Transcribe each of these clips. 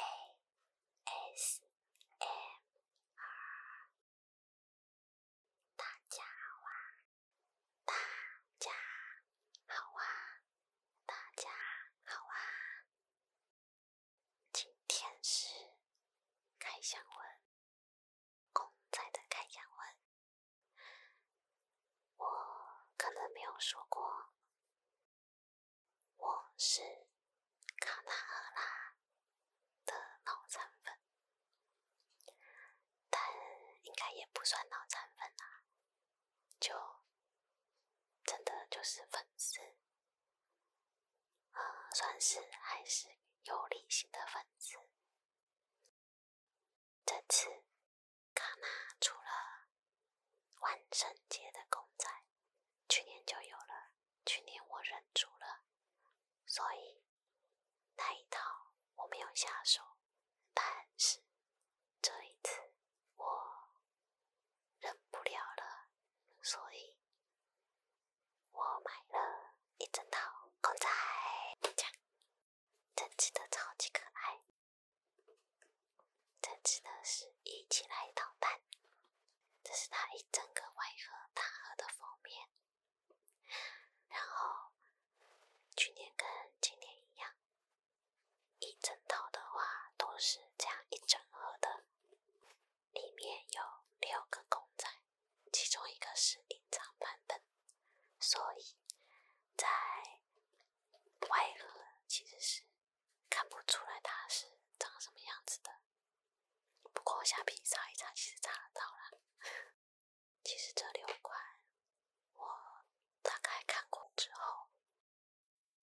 A S M R，大家好啊！大家好啊！大家好啊！今天是开箱文，公仔的开箱文，我可能没有说过。我是卡纳赫拉的脑残粉，但应该也不算脑残粉啦，就真的就是粉丝，呃，算是还是有理性的粉丝。这次，卡娜出了万圣节的公仔，去年就有了，去年我忍住了，所以那一套我没有下手，但是这一次我忍不了了，所以我买了一整套公仔。真真的超级可爱！真真的是一起来捣蛋。这是它一整个外盒大盒的封面。然后去年跟今年一样，一整套的话都是这样一整盒的，里面有六个公仔，其中一个是隐藏版本，所以在。外了，其实是看不出来它是长什么样子的，不过下皮擦一擦，其实擦得到了。其实这六款我大概看过之后，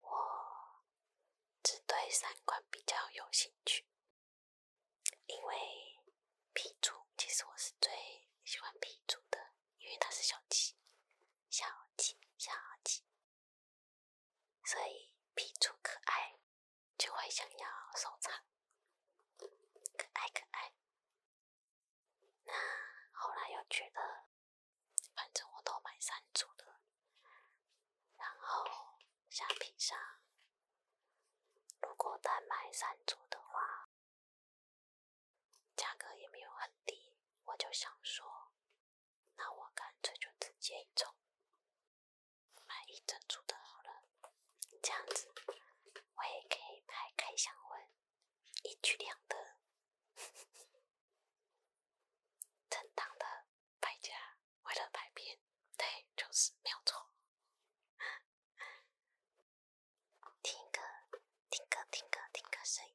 我只对三款比较有兴趣，因为皮组其实我是最喜欢皮组的。因为它是小鸡，小鸡小鸡，所以皮出可爱就会想要收藏，可爱可爱。那后来又觉得，反正我都买三组的，然后橡皮上，如果单买三组的话。价格也没有很低，我就想说，那我干脆就直接一整，买一整组的好了，这样子我也可以拍开箱文，一举两得，正当的百家为了百变，对，就是没有错。听歌，听歌，听歌，听歌声音。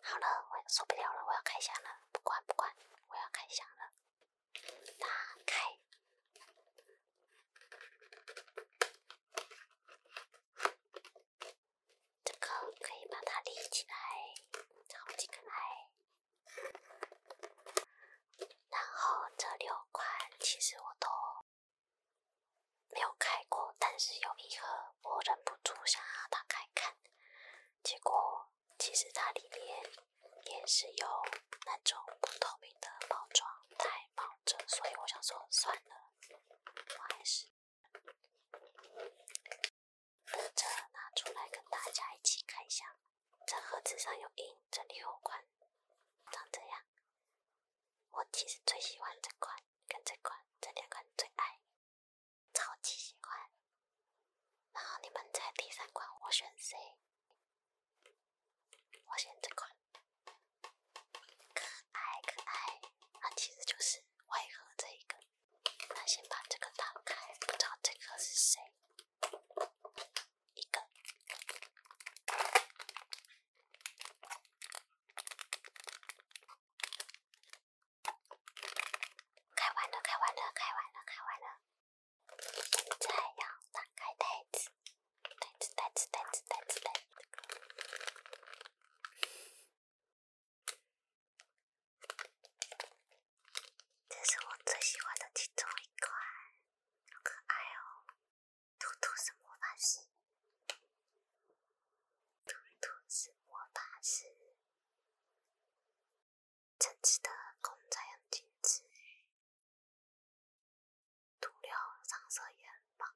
好了，我受不了了，我要开箱了。不管不管，我要开箱了。打开，这个可以把它立起来，超级可爱。然后这六款其实我都没有开过，但是有一盒我忍不住想要打开看，结果其实它里面也是有那种不透明的包装袋包着，所以我想说算了，我还是。这拿出来跟大家一起看一下。这盒子上有印，这里有款，长这样。我其实最喜欢这款跟这款，这两款最爱，超级喜欢。然后你们猜第三款我选 C，我选这款，可爱可爱。那其实就是外盒这一个。那先把这个打开，不知道这个是谁？一个，开完了，开完了，开完了，开完了。再要，打开袋子，袋子，袋子，袋子，袋子，袋子。这是我最喜欢的其中一款，好可爱哦！兔兔是魔法师，兔兔是魔法师，这次的工仔很精致，涂料上色也很棒，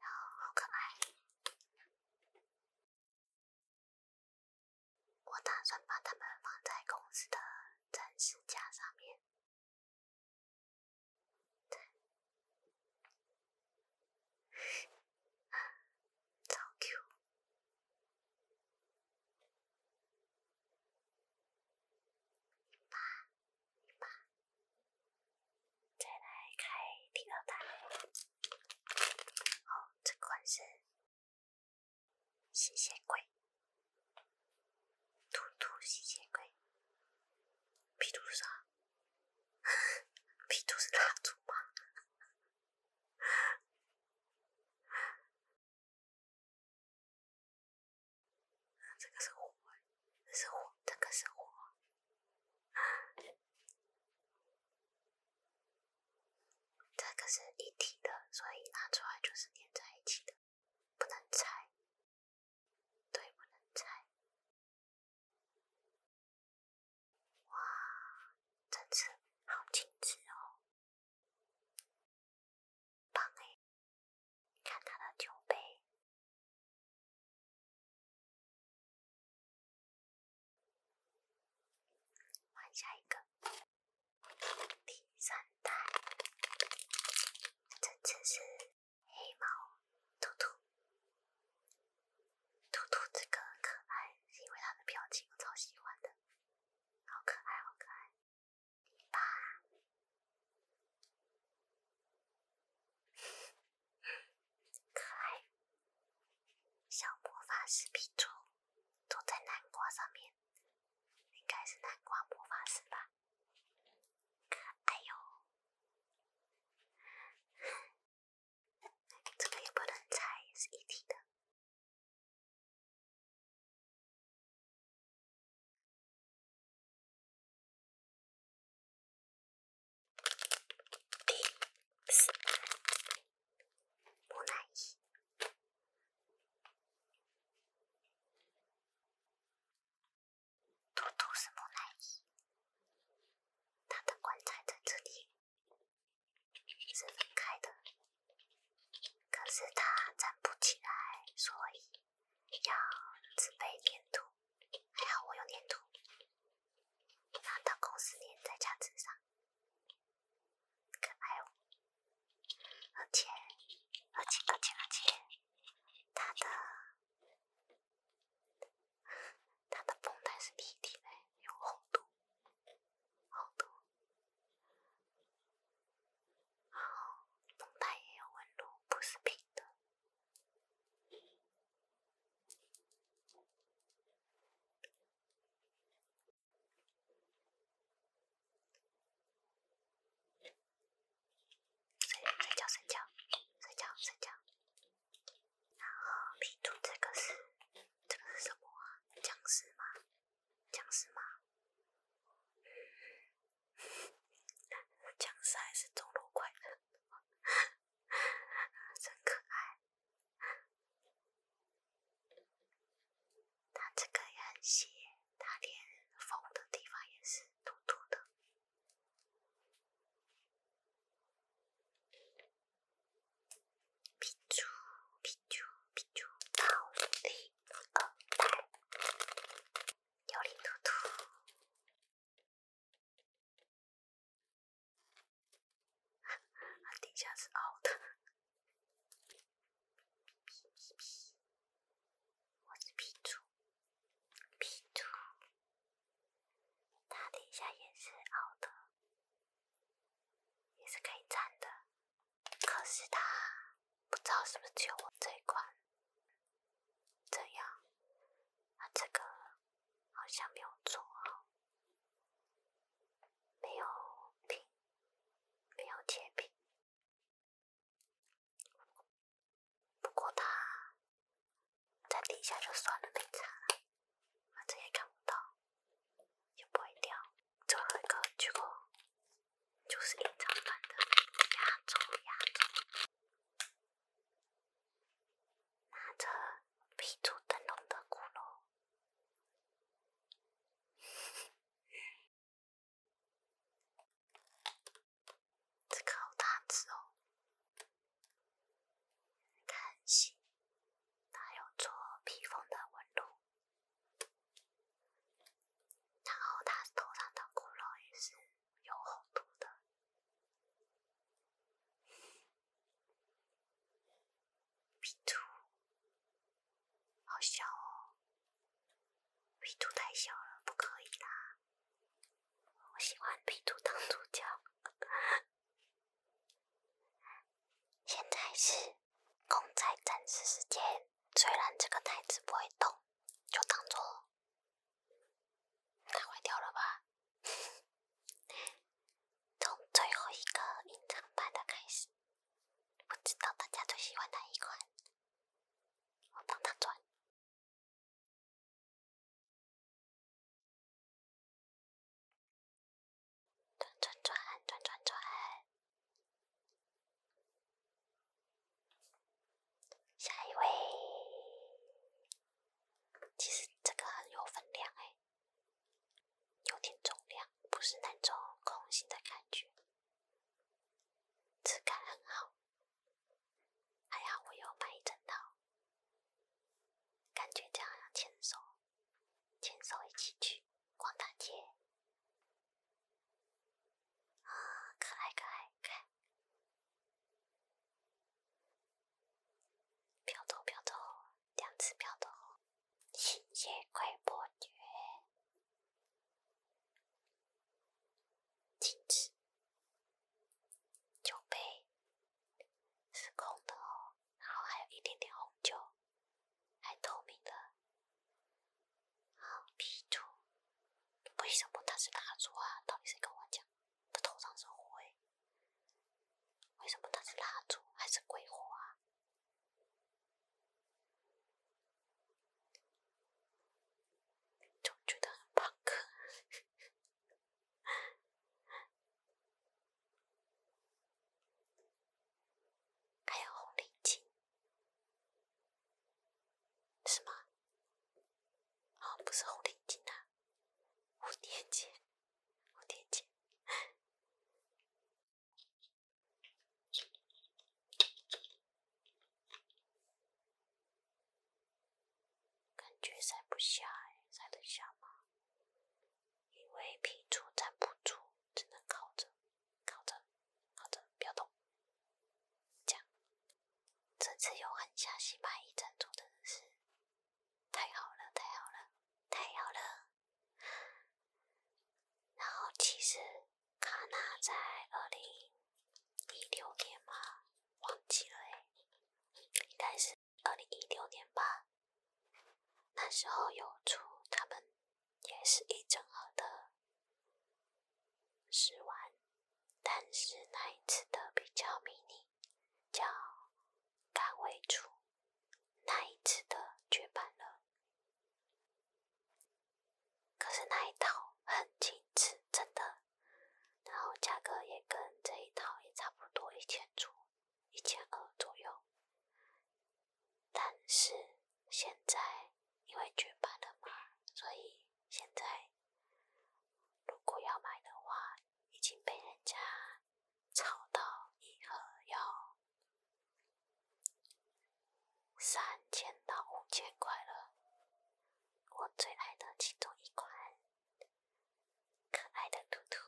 然后好可爱。我打算把它们放在公司的展示架上面。对，再来开第二袋，好，这款是吸血鬼，兔兔吸血鬼，皮是啥？皮 图是蜡烛吗？这个是火，这是火，这个是火。这个是一体的，所以拿出来就是粘在一起的，不能拆。对，不能拆。哇，真是好精致哦，棒哎！看它的酒杯。换下一个第三代，这次是黑猫兔兔，兔兔这个可爱是因为它的表情，我超喜欢的，好可爱好可爱，第八。可爱小魔法师皮图坐在南瓜上面，应该是南瓜魔法师吧？可爱哟，这个也不能拆，是一体的。木乃伊无奈，是木乃伊，他的棺材在这里是分开的，可是他站不起来，所以要自备粘土，还好我有粘土。拿到公司粘在夹子上，可爱哦！而且，而且，而且，而且，它的它的绷带是立体的，有厚度，厚度，然后绷带也有纹路，不是平的。睡睡觉睡觉睡觉睡觉。然后 P 图这个是这个是什么？僵尸吗？僵尸吗？僵尸还是中路快的。真可爱，它这个人型，它连缝的地方也是凸凸的。比丘比丘比丘，大地他 底下是凹的，我是 P 图，P 图他底下也是凹的，也是可以站的。可是他不知道是不是只有我这一款？这样，那这个。好像没有做好，没有屏，没有截屏。不过它在底下就算了，没藏，反正也看不到，也不会掉。最后一个鞠躬，就是一张。版的拿着皮竹灯笼的骷髅，这个好大只哦！看戏，它有做披风的纹路，然后它头上的骷髅也是。有厚度的，皮 图好小哦，皮图太小了，不可以啦。我喜欢皮图当主角。现在是公仔展示时间，虽然这个台子不会动，就当做。它坏掉了吧？从最后一个隐藏版的开始，不知道大家最喜欢哪一款？我让它转，转转转转转，下一位。其实这个很有分量哎，有点重量，不是那种空心的感觉，质感很好，还好我有买一整套，感觉这样牵手，牵手一起去逛大街，啊，可爱可爱。飘走，飘走，两次飘走，一夜快播绝。第一酒杯是空的哦，然后还有一点点红酒，还透明的。啊，啤酒？为什么他是大烛啊？到底谁跟我讲？他头上是灰，为什么他是蜡烛还是鬼火啊？总觉得很怕克，还有红领巾，什么？哦，不是红领巾呐，蝴蝶结，蝴蝶结，感觉塞不下哎，塞得下吗？因为屁股站不住，只能靠着，靠着，靠着，不要动，这样，这次又狠下心买一整组，真的是太好了，太好了，太好了！然后其实卡娜在二零一六年嘛，忘记了哎，应该是二零一六年吧。那时候有出他们也是一整盒的试玩，但是那一次的比较迷你。叫甘薇》厨那一次的绝版了，可是那一套很精致，真的，然后价格也跟这一套也差不多，一千出一千二左右，但是现在因为绝版了嘛，所以现在。如果要买的话，已经被人家炒到一盒要三千到五千块了。我最爱的其中一款，可爱的兔兔，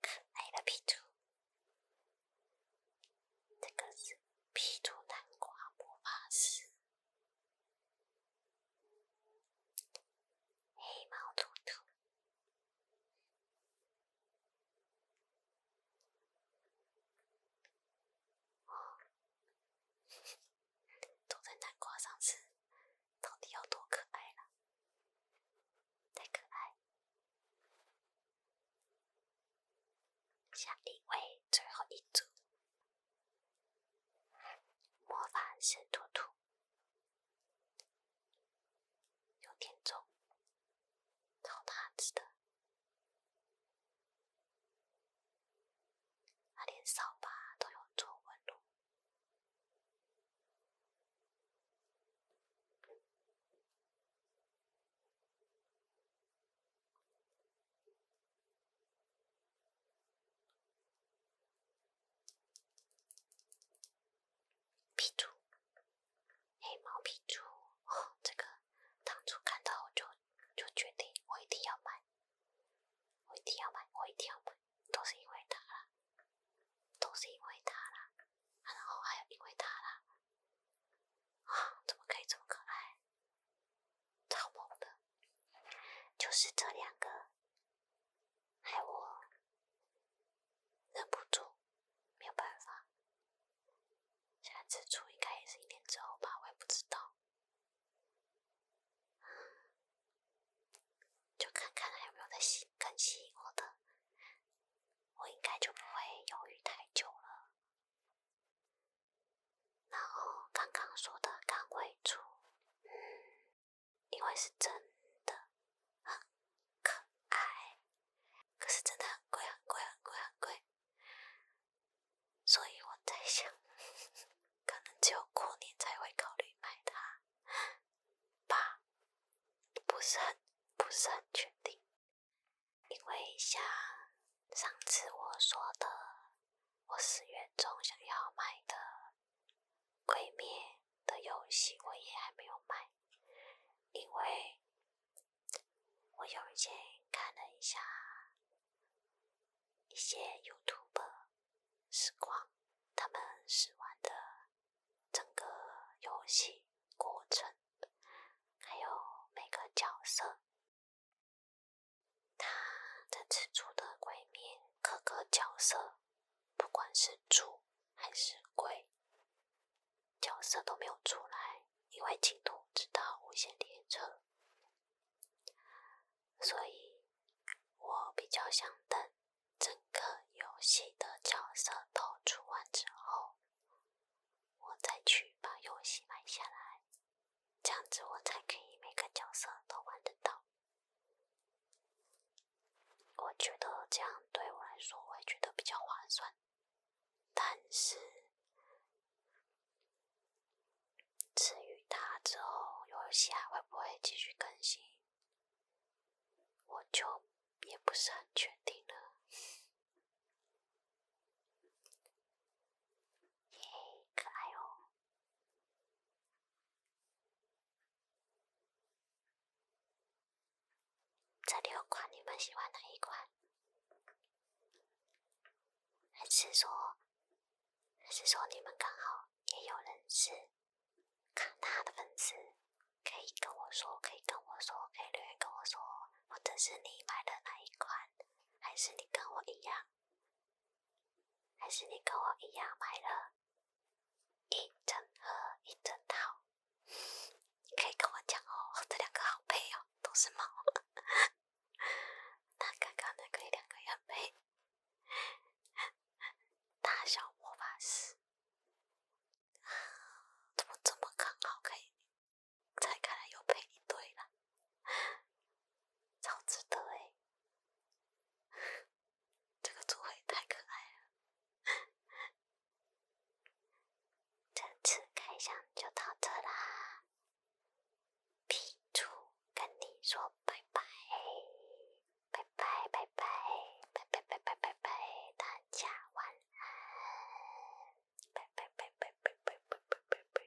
可爱的皮兔，这个是皮兔南瓜魔法师。黑猫兔兔哦，坐在南瓜上吃，到底有多可爱了？太可爱！下一位，最后一组。魔法是兔兔，有点重，超大只的，它连扫把都有皱纹路。皮猪，黑毛皮猪，这个当初看到我就就决定我一定要买，我一定要买，我一定要买，都是因为他啦，都是因为他啦，然后还有因为他啦，啊，怎么可以这么可爱？超猛的，就是这两个，害我忍不住，没有办法。下次出应该也是一年之后吧，我也不知道，就看看还有没有在吸更新我的，我应该就不会犹豫太久了。然后刚刚说的钢尾柱，嗯，因为是真的，很可爱，可是真的很贵，很贵，很贵，很贵。所以我在想，可能只有过年才会考虑买它吧，不是很不是很确定，因为像上次我说的。我四月中想要买的《鬼灭》的游戏，我也还没有买，因为我有一天看了一下一些有图播时光，他们试玩的整个游戏过程，还有每个角色。他这次出的鬼面各个角色，不管是主还是鬼，角色都没有出来，因为进度直到无限列车。所以，我比较想等整个游戏的角色都出完之后，我再去把游戏买下来。这样子我才可以每个角色都玩得到。我觉得这样对我来说，我觉得比较划算。但是，至于它之后游戏还会不会继续更新，我就也不是很确定了。耶，可爱哦！这六款，你们喜欢哪一款？还是说，还是说你们刚好也有人是卡纳的粉丝？可以跟我说，可以跟我说，可以留言跟我说，或者是你买的哪一款？还是你跟我一样？还是你跟我一样买了一整盒一整套？你可以跟我讲哦，这两个好配哦，都是猫。那刚刚那个两个也很配，大小魔法师，怎么这么刚好可以拆开来又配一对了？超值得诶，这个猪会太可爱了！这次开箱就到这啦，皮猪跟你说拜拜，拜拜拜拜拜拜拜拜拜拜拜拜大家晚安，拜拜拜拜拜拜拜拜拜。